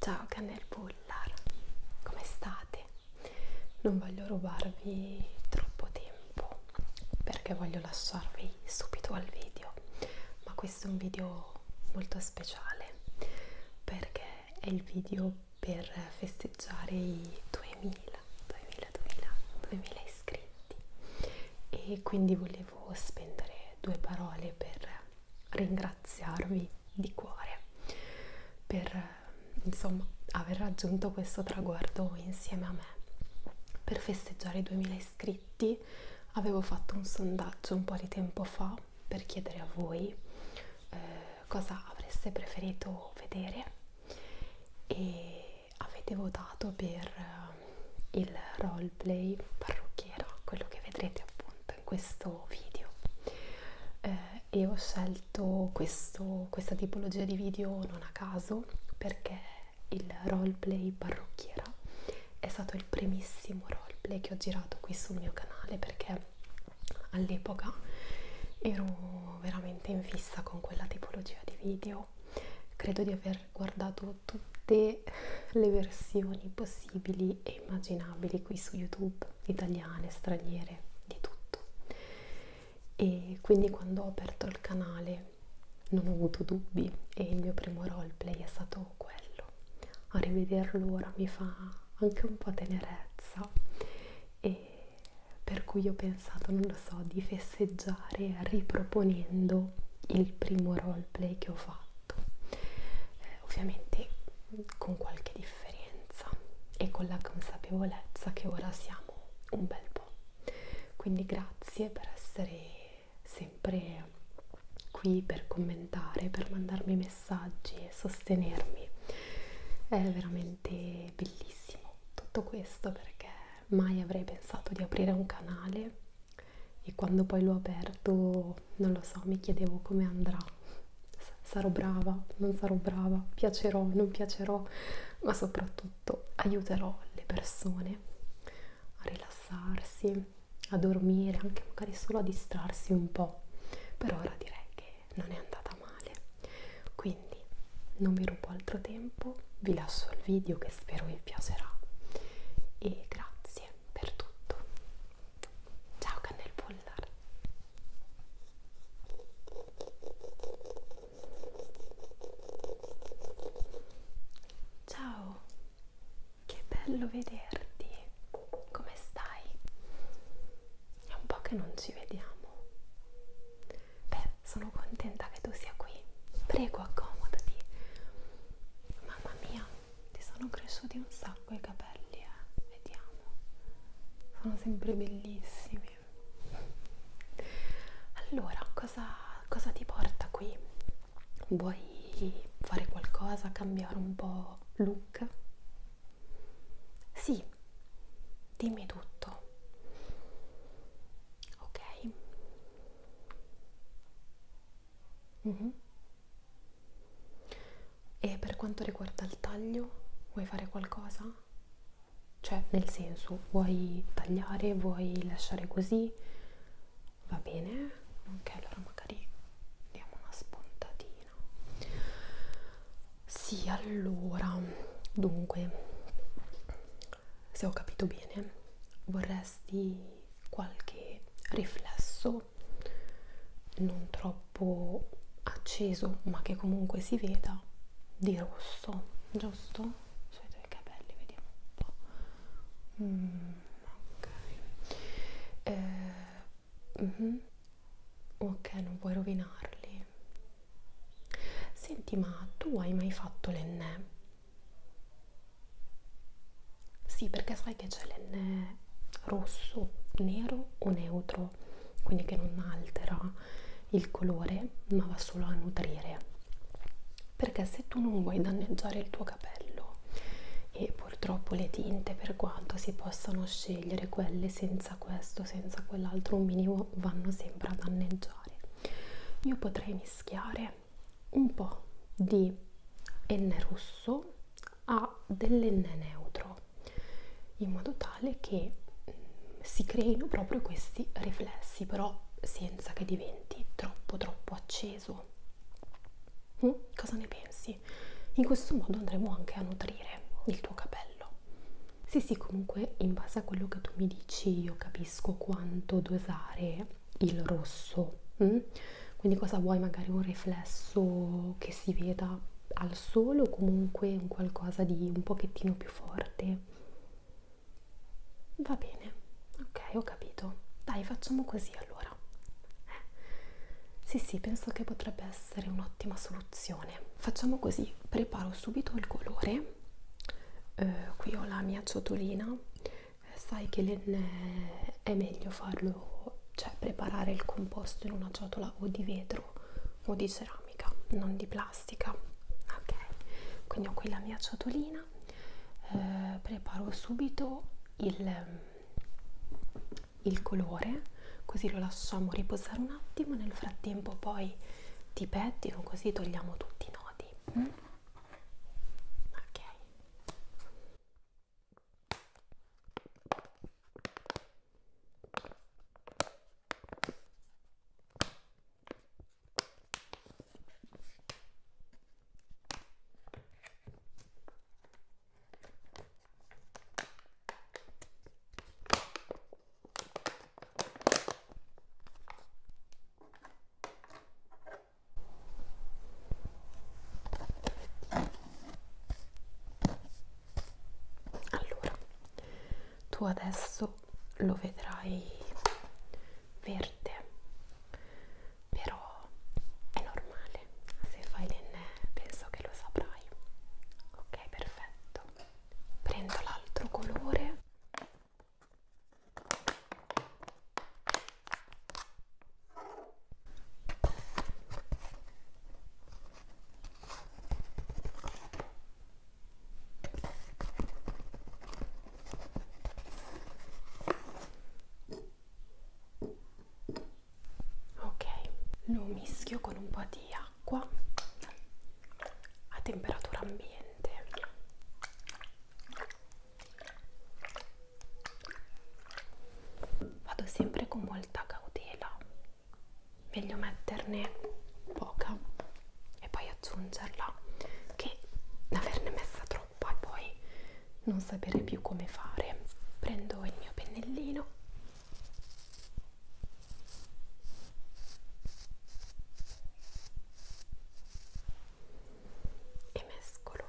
Ciao Canel Bullar, come state? Non voglio rubarvi troppo tempo perché voglio lasciarvi subito al video, ma questo è un video molto speciale perché è il video per festeggiare i 2000, 2000, 2000, 2000 iscritti e quindi volevo spendere due parole per ringraziarvi di cuore per insomma aver raggiunto questo traguardo insieme a me per festeggiare i 2000 iscritti avevo fatto un sondaggio un po' di tempo fa per chiedere a voi eh, cosa avreste preferito vedere e avete votato per eh, il roleplay parrucchiera, quello che vedrete appunto in questo video eh, e ho scelto questo, questa tipologia di video non a caso perché il roleplay parrucchiera è stato il primissimo roleplay che ho girato qui sul mio canale perché all'epoca ero veramente in fissa con quella tipologia di video credo di aver guardato tutte le versioni possibili e immaginabili qui su youtube italiane straniere di tutto e quindi quando ho aperto il canale non ho avuto dubbi e il mio primo roleplay è stato quello a rivederlo ora mi fa anche un po' tenerezza e per cui ho pensato, non lo so, di festeggiare riproponendo il primo roleplay che ho fatto, eh, ovviamente con qualche differenza e con la consapevolezza che ora siamo un bel po'. Quindi grazie per essere sempre qui, per commentare, per mandarmi messaggi e sostenermi. È veramente bellissimo tutto questo perché mai avrei pensato di aprire un canale e quando poi l'ho aperto non lo so, mi chiedevo come andrà. S sarò brava, non sarò brava, piacerò, non piacerò, ma soprattutto aiuterò le persone a rilassarsi, a dormire, anche magari solo a distrarsi un po'. Per ora direi che non è andata male quindi non vi rubo altro tempo vi lascio il video che spero vi piacerà e grazie per tutto ciao cannel pollar ciao che bello vederti come stai è un po' che non ci vediamo. Beh, sono contenta che tu sia qui. Prego, accomodati. Mamma mia, ti sono cresciuti un sacco i capelli, eh. Vediamo. Sono sempre bellissimi. Allora, cosa, cosa ti porta qui? Vuoi fare qualcosa, cambiare un po' look? Sì, dimmi tutto ok mm -hmm. e per quanto riguarda il taglio vuoi fare qualcosa cioè nel senso vuoi tagliare vuoi lasciare così va bene ok allora magari diamo una spuntatina carino sì allora dunque se ho capito bene vorresti qualche riflesso non troppo acceso ma che comunque si veda di rosso giusto? sui tuoi capelli vediamo un po' mm, ok eh, Mm -hmm. Ok, non vuoi rovinarli. Senti, ma tu hai mai fatto l'enne? Sì, perché sai che c'è l'enne rosso, nero o neutro, quindi che non altera il colore, ma va solo a nutrire. Perché se tu non vuoi danneggiare il tuo capello e purtroppo le tinte per quanto si possano scegliere quelle senza senza questo, senza quell'altro, un minimo vanno sempre a danneggiare. Io potrei mischiare un po' di N rosso a dell'N neutro in modo tale che mm, si creino proprio questi riflessi, però senza che diventi troppo troppo acceso. Mm? Cosa ne pensi? grassi. In questo modo andremo anche a nutrire il tuo capello. Sì, sì, comunque in base a quello che tu mi dici io capisco quanto dosare il rosso. Mh? Mm? Quindi cosa vuoi? Magari un riflesso che si veda al sole o comunque un qualcosa di un pochettino più forte? Va bene, ok, ho capito. Dai, facciamo così allora. Eh. Sì, sì, penso che potrebbe essere essere un'ottima soluzione. Facciamo così, preparo subito il colore, eh, qui ho la mia ciotolina, eh, sai che le, eh, è meglio farlo, cioè preparare il composto in una ciotola o di vetro o di ceramica, non di plastica. Ok, quindi ho qui la mia ciotolina, eh, preparo subito il il colore così lo lasciamo riposare un attimo nel frattempo poi ti pettino così togliamo tutti i nodi mm? ok allora, tu adesso lo vedrai verde, però è normale male se fai l'enne penso che lo saprai ok perfetto prendo l'altro colore ok lo mischio con un po' di acqua a temperatura ambiente vado sempre con molta cautela meglio metterne poca e poi aggiungerla che averne messa troppa e poi non sapere più come fare prendo il mio pennellino e mescolo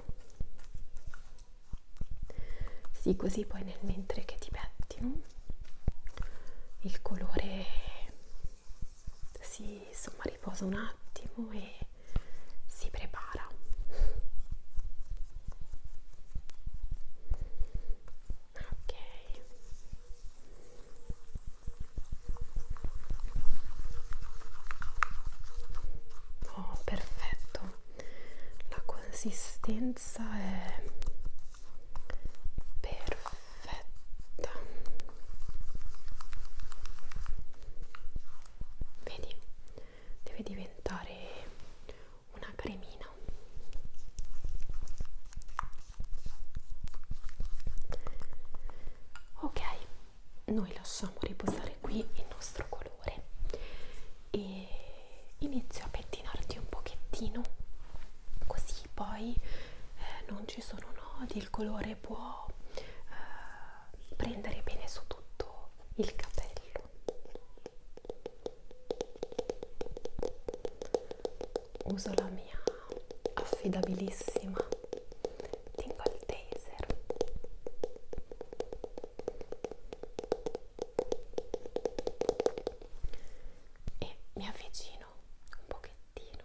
sì così poi nel mentre che ti pettino il colore si insomma riposa un attimo e si prepara ok oh perfetto la consistenza è perfetta vedi deve diventare una cremina ok noi lasciamo riposare qui il nostro colore e inizio a pettinarti un pochettino così poi eh, non ci sono nodi il colore può eh, prendere bene su tutto il capello uso la mia affidabilissima tingle taser e mi avvicino un pochettino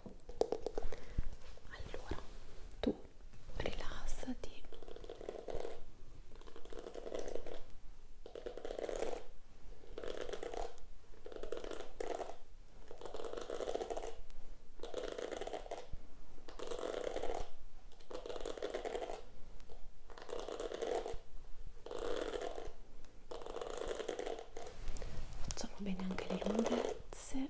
allora tu rilassati Facciamo bene anche le lunghezze.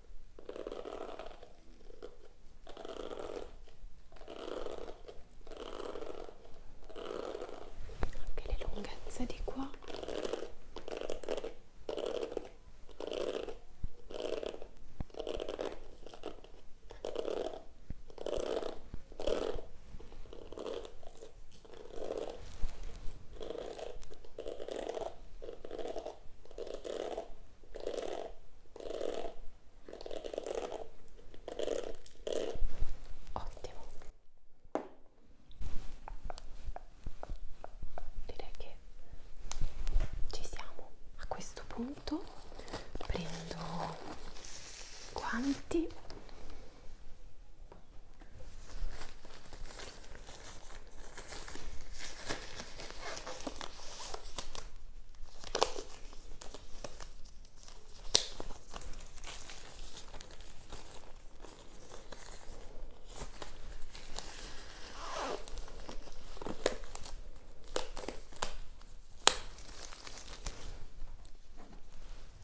Quelle est longue, ça dit quoi Ottimo. Direi che ci siamo. A questo punto prendo guanti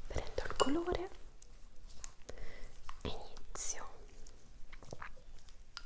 prendo il colore e inizio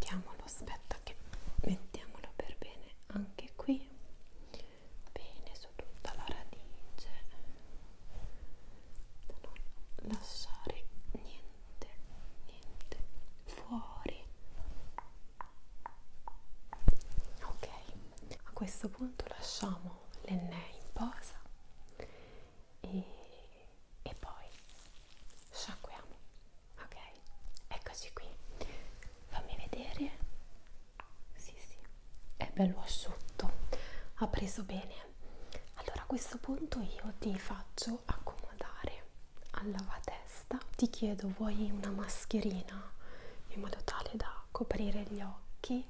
mettiamolo aspetta che mettiamolo per bene anche qui bene su tutta la radice da non lasciare niente niente fuori ok a questo punto lasciamo l'enne in posa e, e poi sciacquiamo ok eccoci qui fammi vedere sì sì è bello asciutto ha preso bene allora a questo punto io ti faccio accomodare al lavatesta ti chiedo vuoi una mascherina in modo tale da coprire gli occhi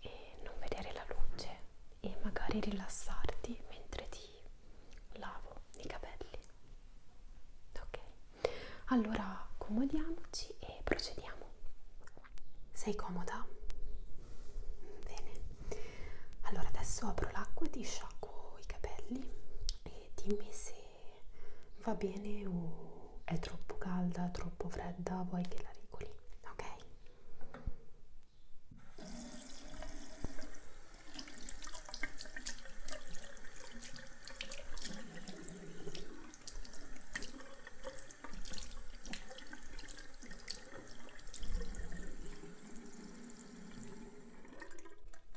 e non vedere la luce e magari rilassarti mentre ti lavo i capelli ok allora accomodiamoci e procediamo sei comoda bene allora adesso apro l'acqua e ti sciacquo i capelli e dimmi se va bene o è troppo calda, troppo fredda, vuoi che la regoli, ok?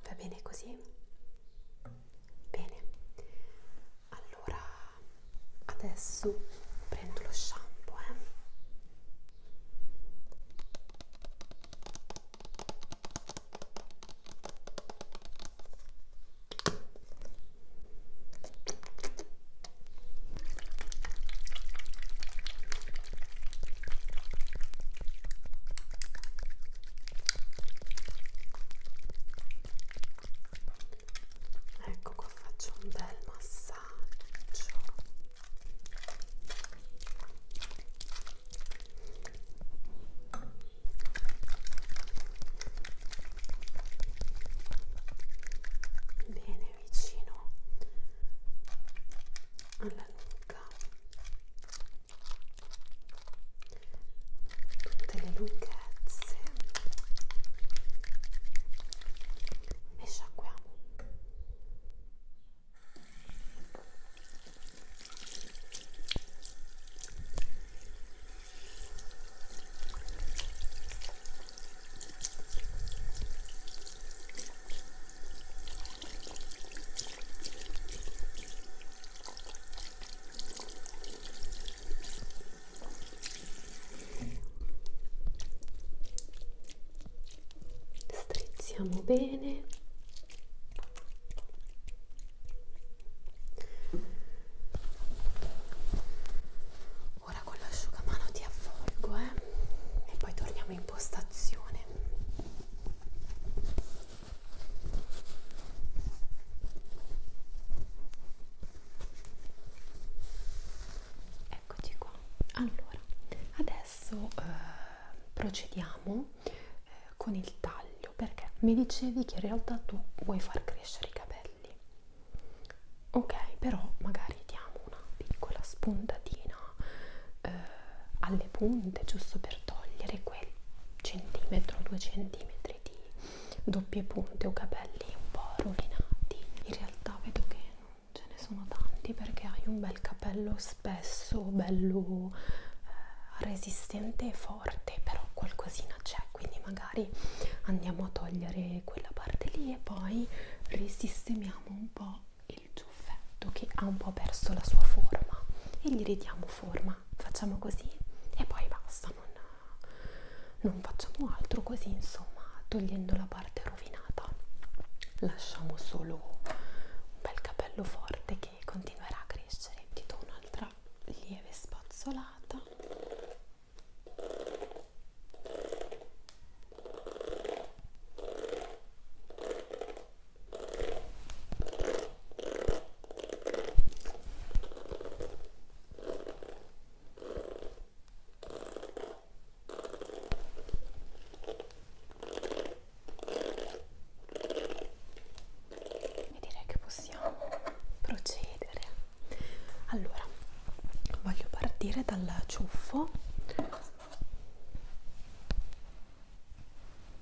Va bene così? Bene, allora adesso prendo lo shampoo eh ecco qua faccio un bel massaggio bene vicino alla nuca tutte le lunghezze e sciacquiamo strizziamo bene ora con l'asciugamano ti avvolgo eh? e poi torniamo in postazione Eccoci qua. Allora, adesso eh, procediamo eh, con il taglio perché mi dicevi che in realtà tu vuoi far crescere i capelli. Ok, però magari diamo una piccola spuntatina eh, alle punte giusto per togliere quel centimetro, due centimetri anche di doppie punte o capelli un po' rovinati in realtà vedo che non ce ne sono tanti perché hai un bel capello spesso bello eh, resistente e forte però qualcosina c'è quindi magari andiamo a togliere quella parte lì e poi risistemiamo un po' il ciuffetto che ha un po' perso la sua forma e gli ridiamo forma facciamo così e poi basta, non, non facciamo altro così insomma, togliendo la parte rovinata lasciamo solo un bel capello forte che continuerà a crescere. Ti do un'altra lieve spazzolata e direi che possiamo procedere allora voglio partire dal ciuffo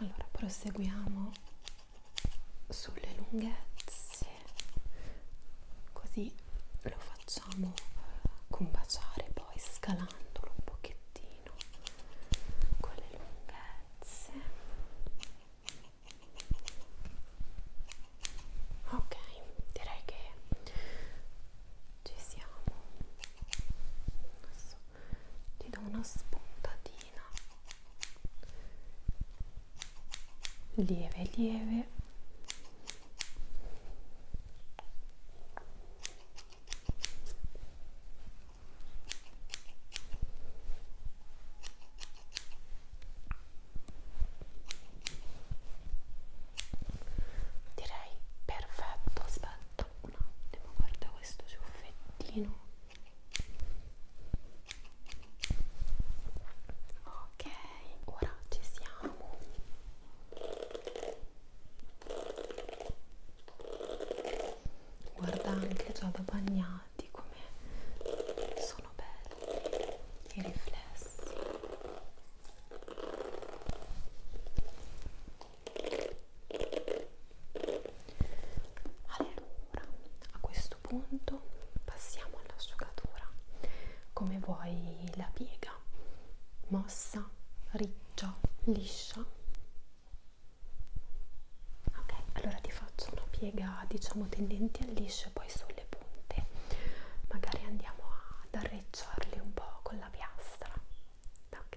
allora proseguiamo sulle lunghezze così lo facciamo combaciare poi scalandolo un pochettino con le lunghezze ok direi che ci siamo adesso ti do una spuntatina lieve lieve ok direi perfetto aspetta un attimo guarda questo ciuffettino ok ora ci siamo guarda anche già da bagnati come sono belli i riflessi allora, a questo punto passiamo all'asciugatura. Come vuoi la piega? Mossa, riccia, liscia? Ok, allora ti faccio una piega diciamo tendente al liscio e poi sulle punte. Magari andiamo ad arredare sfrecciarli un po' con la piastra ok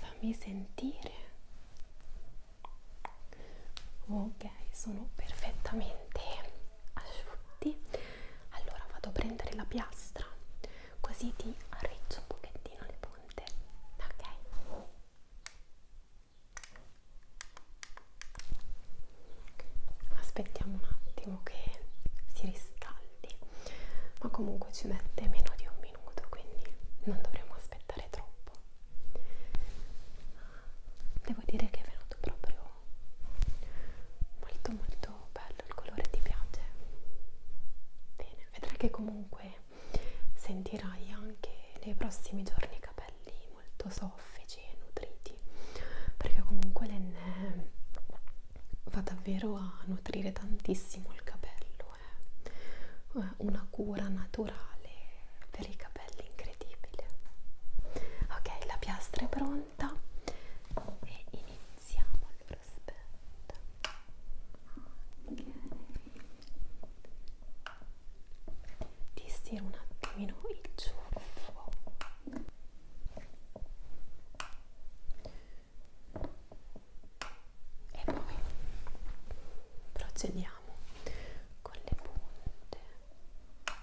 Fammi sentire. Ok, sono perfettamente asciutti. Allora vado a prendere la piastra, così ti arriccio un pochettino le punte. Ok. Aspettiamo un attimo che si riscaldi cristalli ma comunque ci mette meno di un minuto quindi non dovremo aspettare troppo devo dire che è venuto proprio molto molto bello il colore ti piace bene vedrai che comunque sentirai anche nei prossimi giorni i capelli molto soffici e nutriti perché comunque l'enne va davvero a nutrire tantissimo il capello è eh. eh. una cura naturale per i capelli incredibile ok la piastra è pronta e iniziamo allora aspetta ok ti stiro un attimino il ciuffo e poi procediamo con le punte e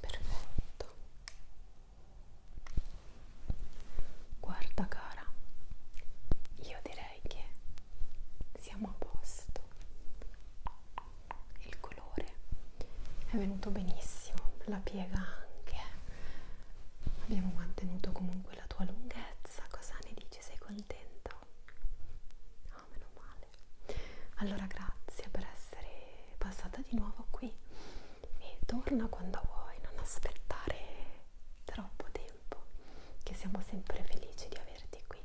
Perfetto. Guarda cara, io direi che siamo a posto. Il colore è venuto benissimo, la piega anche. Abbiamo mantenuto comunque la tua lunghezza bellezza, cosa ne dici? Sei contento? No, meno male. Allora grazie per essere passata di nuovo qui e torna quando vuoi, non aspettare troppo tempo, che siamo sempre felici di averti qui.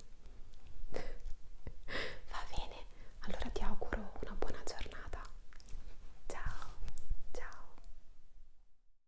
Va bene, allora ti auguro una buona giornata. Ciao, ciao.